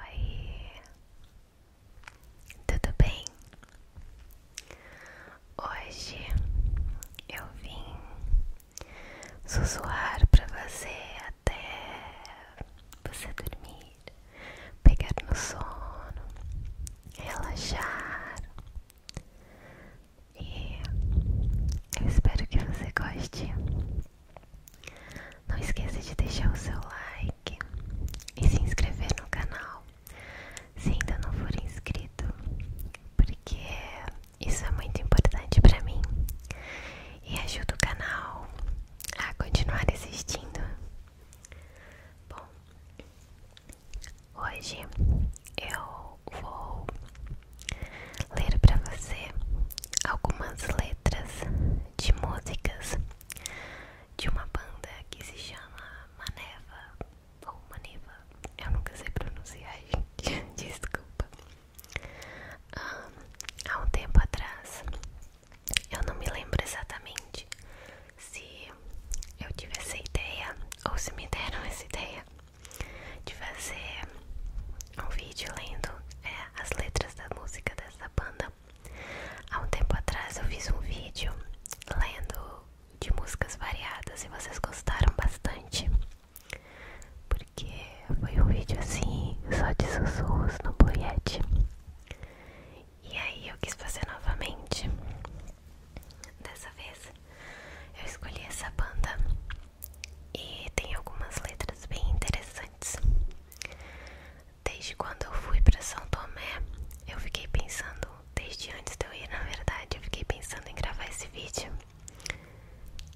Oi, tudo bem? Hoje eu vim sussurrar para você até você dormir, pegar no sono, relaxar e eu espero que você goste não esqueça de deixar o seu like e se inscrever no canal se ainda não for inscrito, porque isso é muito importante para mim e ajuda o canal a continuar existindo. Bom, hoje eu vou ler para você algumas letras de músicas de uma banda que se chama Maneva ou Maneva, eu nunca sei pronunciar, gente, desculpa. Ah, há um tempo atrás, eu não me lembro exatamente se eu tive essa ideia ou se me deram essa ideia de fazer um vídeo lendo é, as letras da música dessa banda Há um tempo atrás eu fiz um vídeo lendo de músicas variadas e vocês gostaram bastante. Porque foi um vídeo assim, só de sussurros no Blue E aí eu quis fazer novamente. Dessa vez eu escolhi essa banda e tem algumas letras bem interessantes. Desde quando eu fui para São Tomé, eu fiquei pensando, desde antes de eu ir, na verdade, eu fiquei pensando em gravar esse vídeo.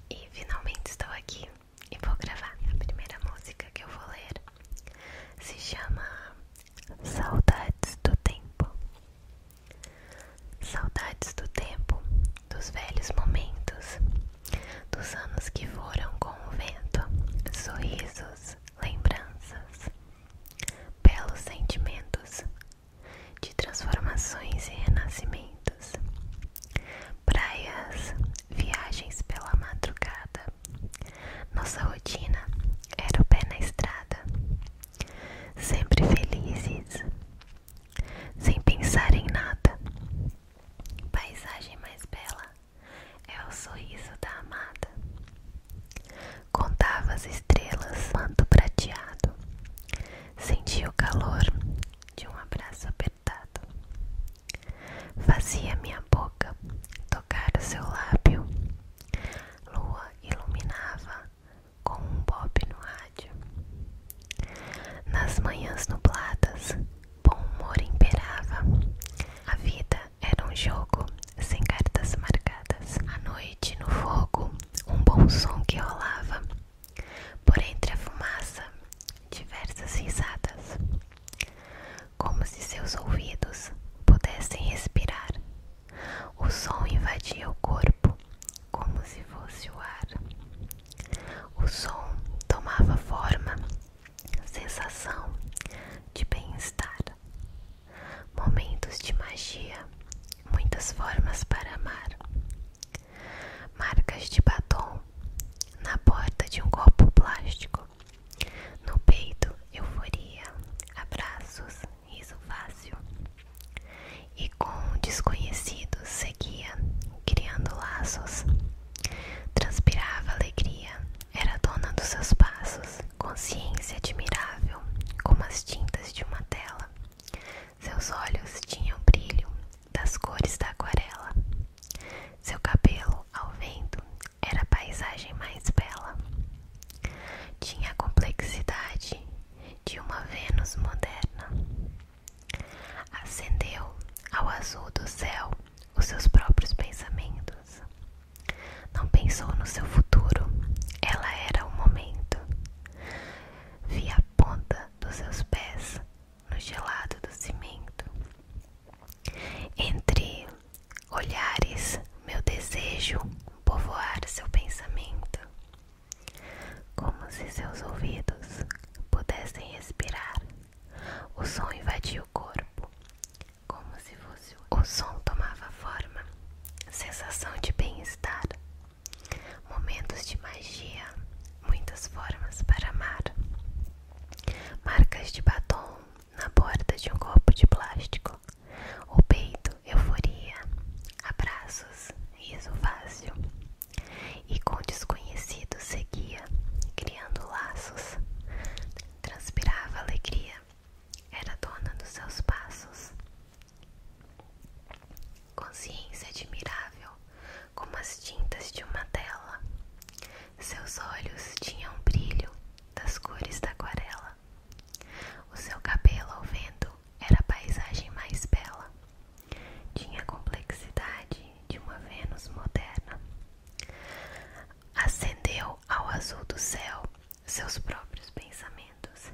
E finalmente estou aqui e vou gravar. A primeira música que eu vou ler se chama Saudades do Tempo. Saudades do tempo, dos velhos momentos dos anos que foram com o vento, sorrisos, lembranças, belos sentimentos de transformações e renascimentos, praias, viagens pela madrugada. Nossa rotina era o pé na estrada, sempre felizes, sem pensar em nada. Paisagem mais bela é o sorriso da amada. Contava as estrelas, manto prateado. Sentia o calor de um abraço apertado. Fazia minha boca tocar o seu lábio. Lua iluminava com um bobe no rádio. Nas manhãs nubladas Bom humor imperava. A vida era um jogo sem cartas marcadas. À noite, no fogo, um bom som que rolava. Por entre a fumaça, diversas risadas. Como se seus ouvidos pudessem respirar. O som invadia o corpo, como se fosse o ar. O som tomava forma sensação de bem-estar, momentos de magia, muitas formas para amar, marcas de batom na porta de um copo plástico, no peito, euforia, abraços, riso fácil. E com desconhecidos seguia criando laços Transpirava alegria, era dona dos seus passos, consciência admirável, como as tintas de uma tela. Seus olhos tinham brilho das cores da aquarela. Seu cabelo, ao vento, era a paisagem mais bela. Tinha a complexidade de uma Vênus moderna. Acendeu ao azul do céu os seus próprios pensamentos. Não pensou no seu futuro, ela era o momento. Vi a ponta dos seus pés no gelado do cimento. Entre olhares, meu desejo povoar seu pensamento, como se seus ouvidos pudessem respirar o som invadia o corpo, como se fosse o som tomava forma, sensação de bem-estar, momentos de magia, muitas formas para amar, marcas de batom na borda de um copo de plástico, o peito, euforia, abraços, riso fácil e com desconhecidos seguia, criando laços. Transpirava alegria, era dona dos seus passos. Consciência admirável, como as tintas de uma tela. Seus olhos tinham brilho das cores da aquarela. O seu cabelo ao vento era a paisagem mais bela. Tinha a complexidade de uma Vênus moderna. Acendeu ao azul do céu seus próprios pensamentos.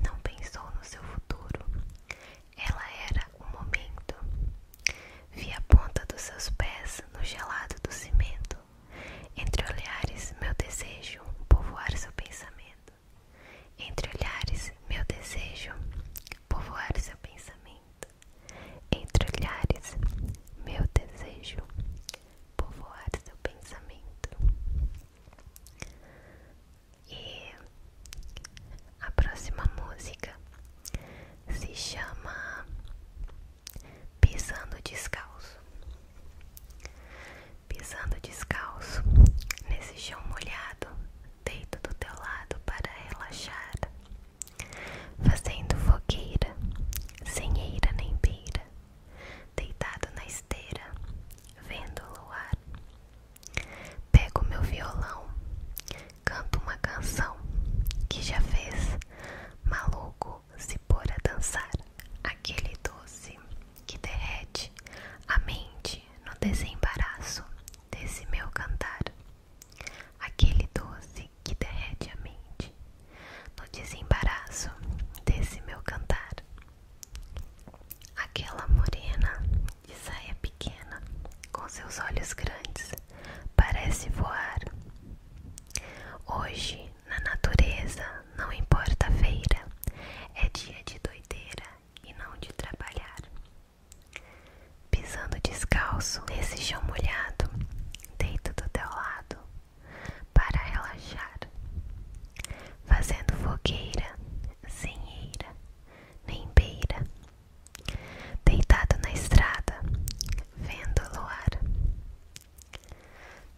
Não pensou no seu futuro. Ela era o momento. Vi a ponta dos seus pés no gelado do cimento. Entre olhares, meu desejo povoar seu pensamento. Entre olhares, meu desejo povoar seu pensamento. Entre olhares, meu desejo povoar seu pensamento. E a próxima música se chama Pisando Descalço. Pisando descalço nesse chão molhado, deito do teu lado para relaxar. Fazendo fogueira, sem eira nem beira, deitado na esteira, vendo o luar. Pego meu violão, canto uma canção que já fez maluco se pôr a dançar. Aquele doce que derrete a mente no desembaraço desse meu cantar. Aquele doce que derrete a mente no desembaraço desse meu cantar. Aquela morena de saia pequena, com seus olhos grandes, parece voar. Hoje, na natureza, não importa a feira, é dia de doideira e não de trabalhar. Pisando descalço nesse chão molhado, deito do teu lado para relaxar, fazendo fogueira sem eira nem beira, deitado na estrada, vendo o luar.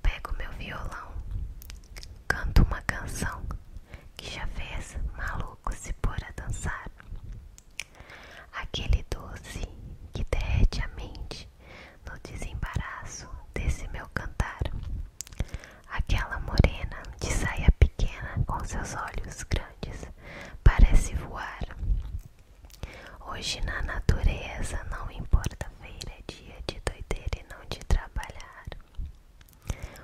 Pego meu violão, canto uma canção que já fez maluco se pôr a dançar. Aquele doce que derrete a mente no desembaraço desse meu cantar. Aquela morena de saia pequena com seus olhos grandes parece voar. Hoje na natureza não importa feira, é dia de doideira e não de trabalhar.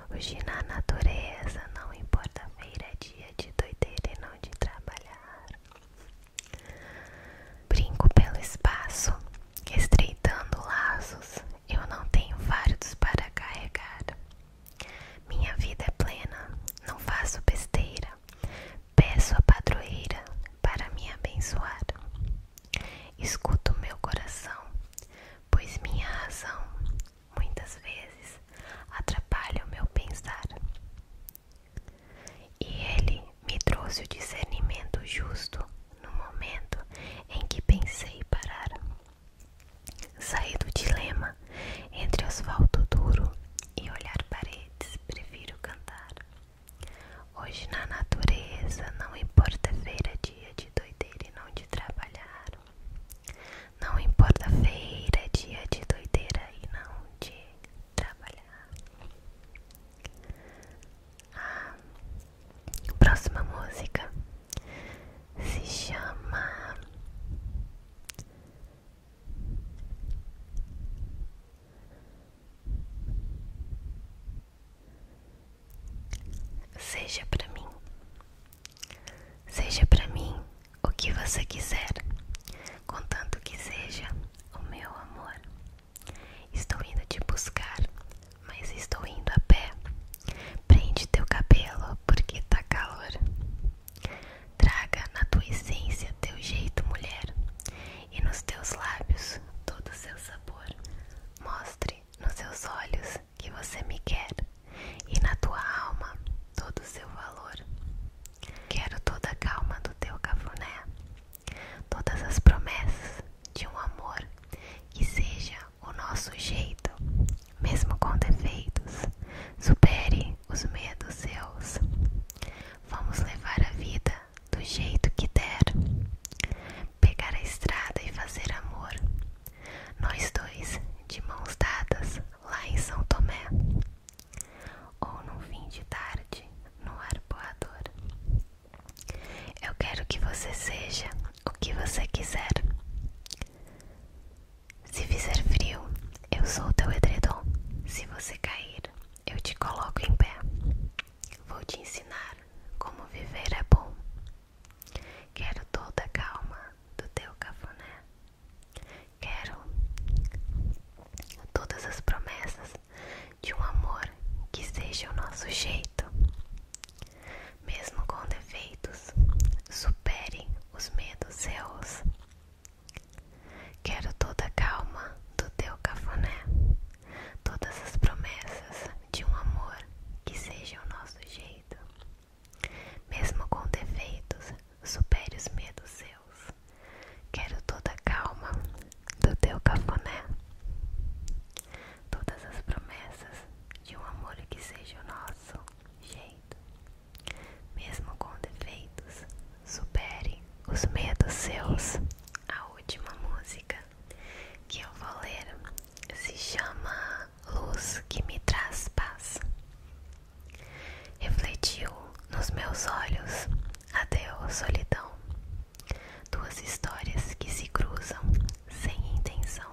Hoje na natureza não importa feira, é dia de doideira e não de trabalhar. Brinco pelo espaço, estreitando laços. Eu não tenho fardos para carregar. Minha vida é plena, não faço besteira. Peço a padroeira para me abençoar. Escuto meu coração, pois minha razão muitas vezes atrapalha o meu pensar. E ele me trouxe o discernimento justo no momento em que pensei parar. Saí do dilema entre asfalto duro e olhar paredes, prefiro cantar. Hoje na natureza não importa feira, dia de doideira e não de trabalhar. Não importa feira, é dia de doideira e não de trabalhar. A ah, próxima música se chama Seja pra mim, seja pra mim o que você quiser, contanto que seja o meu amor. Estou indo te buscar, mas estou indo a pé. Prende teu cabelo porque tá calor. Traga na tua essência teu jeito, mulher, e nos teus lábios todo o seu sabor. Mostre nos seus olhos que você me quer, e na tua alma todo o seu valor. Quero toda a calma do teu cafuné, todas as promessas de um amor que seja o nosso jeito, mesmo com defeitos. Supere os medos seus. Vamos levar a vida do jeito que der. Pegar a estrada e fazer amor. Nós dois, de mãos dadas, lá em São Tomé, ou num fim de tarde no arpoador. Eu quero que você seja o que você quiser. Se fizer frio, eu sou teu edredom. Se você cair, eu te coloco em pé. Vou te ensinar como viver é bom. Quero toda a calma do teu cafuné. Quero todas as promessas de um amor que seja o nosso jeito, mesmo com defeitos, supere os medos seus. Quero toda a calma do teu cafuné, todas as promessas de um amor que seja o nosso jeito, mesmo com defeitos, supere os medos seus. Quero toda a calma do teu cafuné, todas as promessas de um amor que seja o nosso jeito. Mesmo com defeitos, supere os medos seus. A última música que eu vou ler se chama Luz que me traz paz. Refletiu nos meus olhos a teu solidão. Duas histórias que se cruzam sem intenção.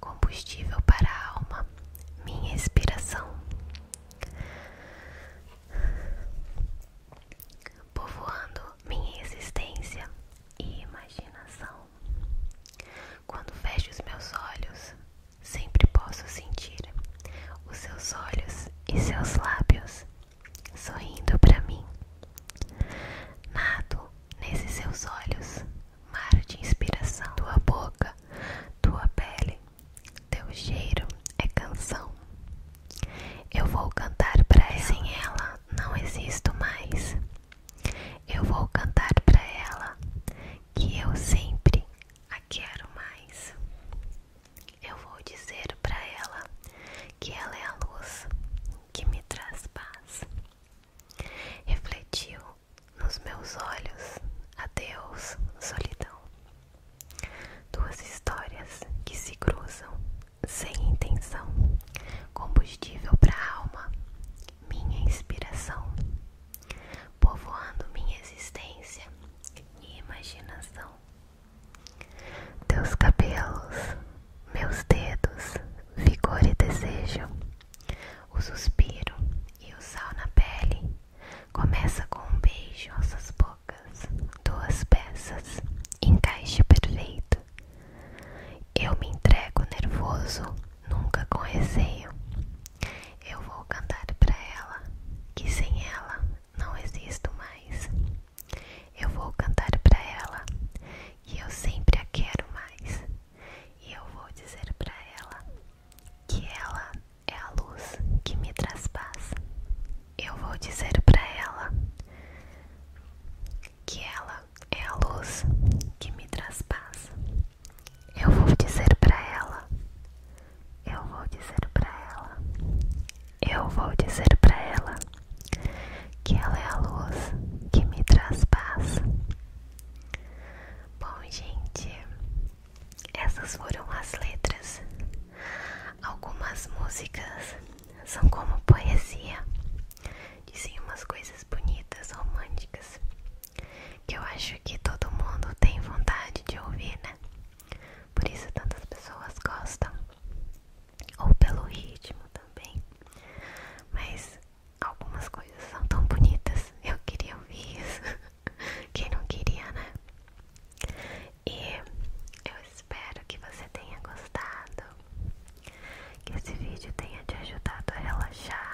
Combustível para a alma, minha inspiração. Povoando minha existência e imaginação. Quando fecho os meus olhos, Sempre posso sentir os seus olhos e seus lábios sorrindo para mim. Nado nesses seus olhos, mar de inspiração. Tua boca, tua pele, teu cheiro é canção. Eu vou cantar para ela. Sem ela não existo mais. Eu vou cantar para ela que eu sempre quero mais. Eu vou dizer para ela que ela é a luz que me traz paz. Refletiu nos meus olhos, adeus, solidão. Duas histórias que se cruzam sem intenção, combustível para a alma, minha inspiração povoando minha existência e imaginação. Teus cabelos, meus dedos, vigor e desejo, o suspiro e o sal na pele. Começa com um beijo nossas bocas, duas peças, encaixe perfeito. Eu me entrego nervoso, nunca com receio. Eu vou cantar para ela que sem ela não existo mais. Eu vou cantar para ela que eu sempre a quero mais. E eu vou dizer para ela que ela é a luz que me traz Eu vou dizer para ela que ela é a luz que me traz eu vou dizer para ela. Eu vou dizer para ela. Eu vou dizer para ela que ela é a luz que me traspassa. Bom, gente, essas foram as letras. Algumas músicas são como poesia, dizem umas coisas bonitas, românticas, que eu acho que todo mundo tem vontade de ouvir, né? Por isso tantas pessoas gostam, ou pelo ritmo também. Mas algumas coisas são tão bonitas, eu queria ouvir isso. Quem não queria, né? E eu espero que você tenha gostado, que esse vídeo tenha te ajudado a relaxar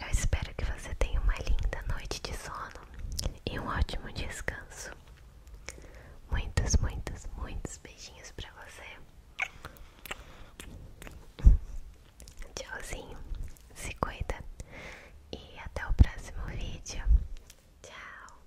eu espero que você tenha uma linda noite de sono e um ótimo descanso. Muitos, muitos, muitos beijinhos pra você. Tchauzinho, se cuida e até o próximo vídeo. Tchau.